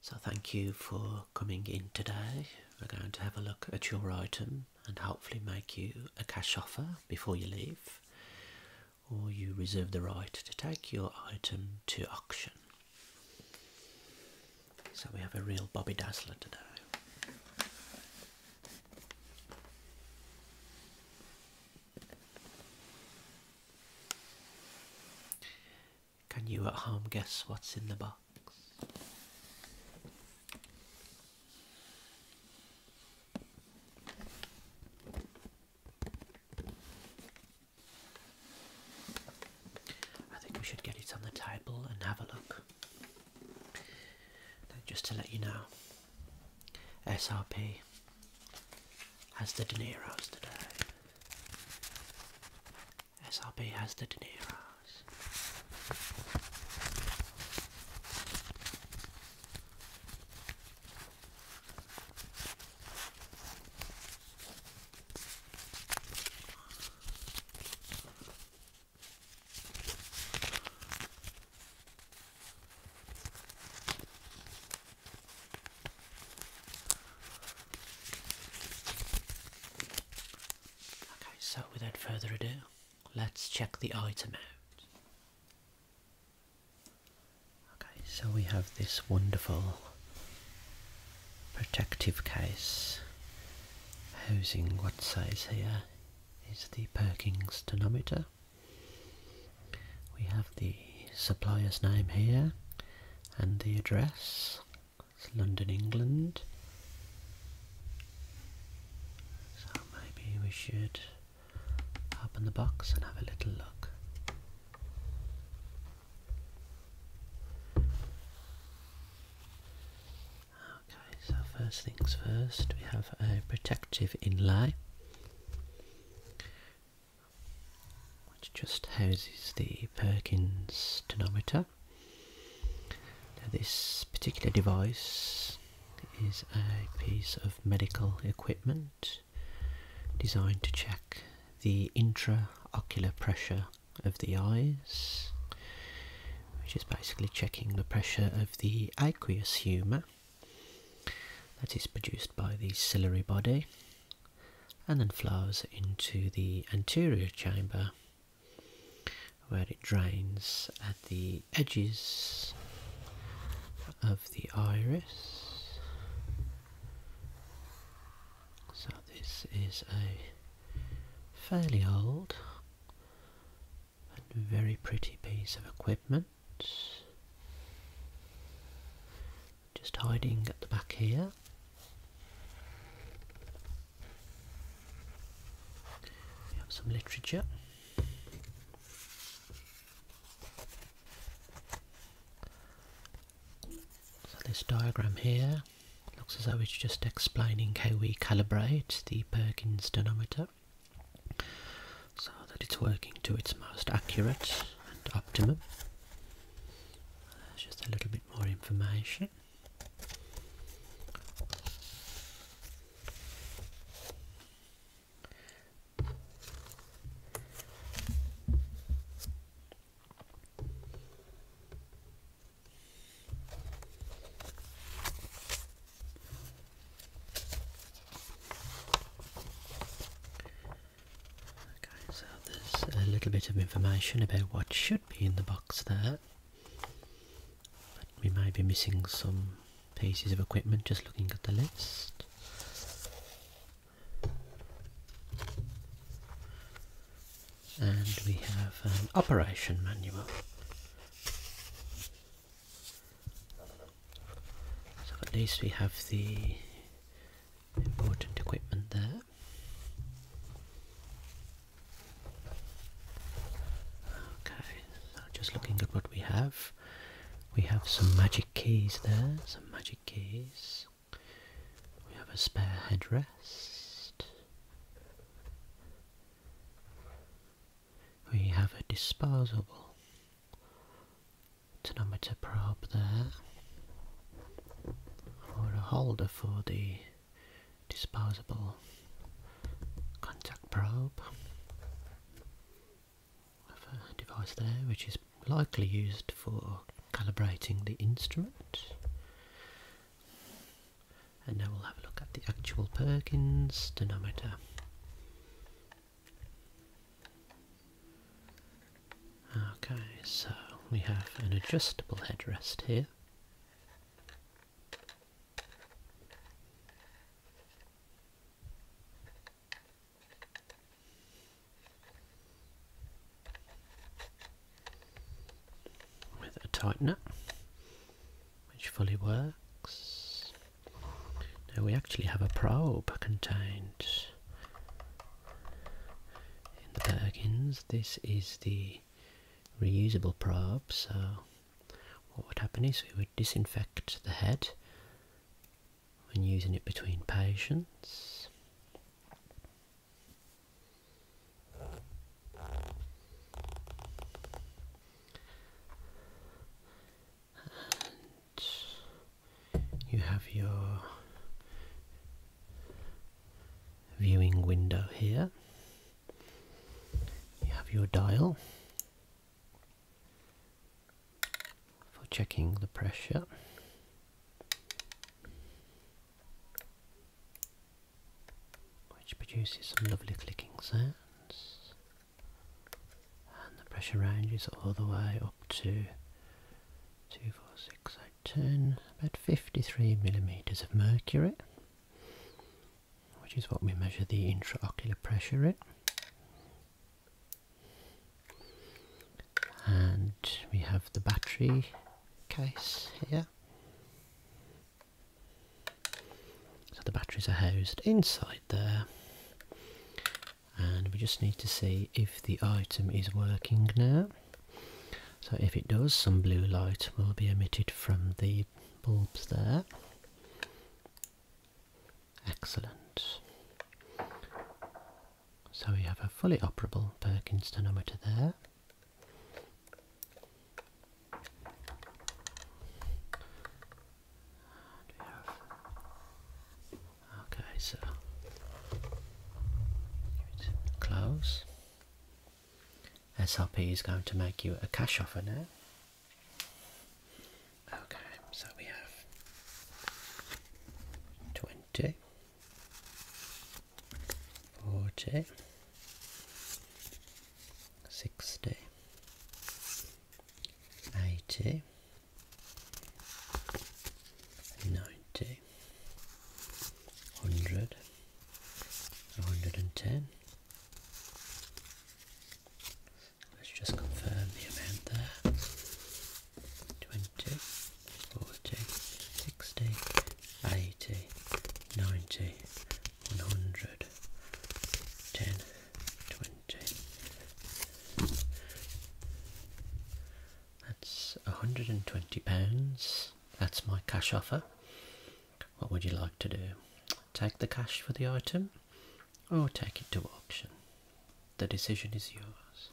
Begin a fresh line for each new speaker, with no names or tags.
So thank you for coming in today. We're going to have a look at your item and hopefully make you a cash offer before you leave or you reserve the right to take your item to auction. So we have a real Bobby Dazzler today. Can you at home guess what's in the box? I think we should get it on the table and have a look. just to let you know, SRP has the De Niro's today. SRB has the Dineros. Okay, so without further ado, let's check the item out. Okay, so we have this wonderful protective case housing what says here is the Perkins tonometer. We have the supplier's name here and the address. It's London, England. So maybe we should open the box and have a little look. Okay, so first things first, we have a protective inlay which just houses the Perkins tonometer. Now this particular device is a piece of medical equipment designed to check the intraocular pressure of the eyes which is basically checking the pressure of the aqueous humour that is produced by the ciliary body and then flows into the anterior chamber where it drains at the edges of the iris. So, this is a fairly old and very pretty piece of equipment. Just hiding at the back here. We have some literature. So this diagram here looks as though it's just explaining how we calibrate the Perkins tonometer so that it's working to its most accurate and optimum. There's just a little bit more information. Okay, so there's a little bit of information about what should be in the box there. But we may be missing some pieces of equipment just looking at the list. And we have an operation manual. So at least we have the important equipment there. Okay, just looking at what we have. We have some magic keys there, some magic keys. We have a spare headrest we have a disposable tonometer probe there or a holder for the disposable contact probe have a device there which is likely used for calibrating the instrument and now we'll have a look at the actual Perkins denominator. Okay, so we have an adjustable headrest here. with a tightener which fully works. Now we actually have a probe contained in the Perkins. This is the reusable probe, so what would happen is we would disinfect the head when using it between patients you have your viewing window here. You have your dial for checking the pressure which produces some lovely clicking sounds. And the pressure range is all the way up to 2, 4, 10, about 53 millimeters of mercury, which is what we measure the intraocular pressure at. And we have the battery case here, so the batteries are housed inside there and we just need to see if the item is working now. So if it does, some blue light will be emitted from the bulbs there. Excellent. So we have a fully operable Perkins tonometer there. Okay, so close. SLP is going to make you a cash offer now. Okay, so we have 20 forty, sixty, eighty, ninety, hundred, hundred and ten. Let's just confirm the amount there. Twenty. 40, 60, 80, 90, 100, 10, 20. That's £120. That's my cash offer. What would you like to do? Take the cash for the item or take it to auction? The decision is yours.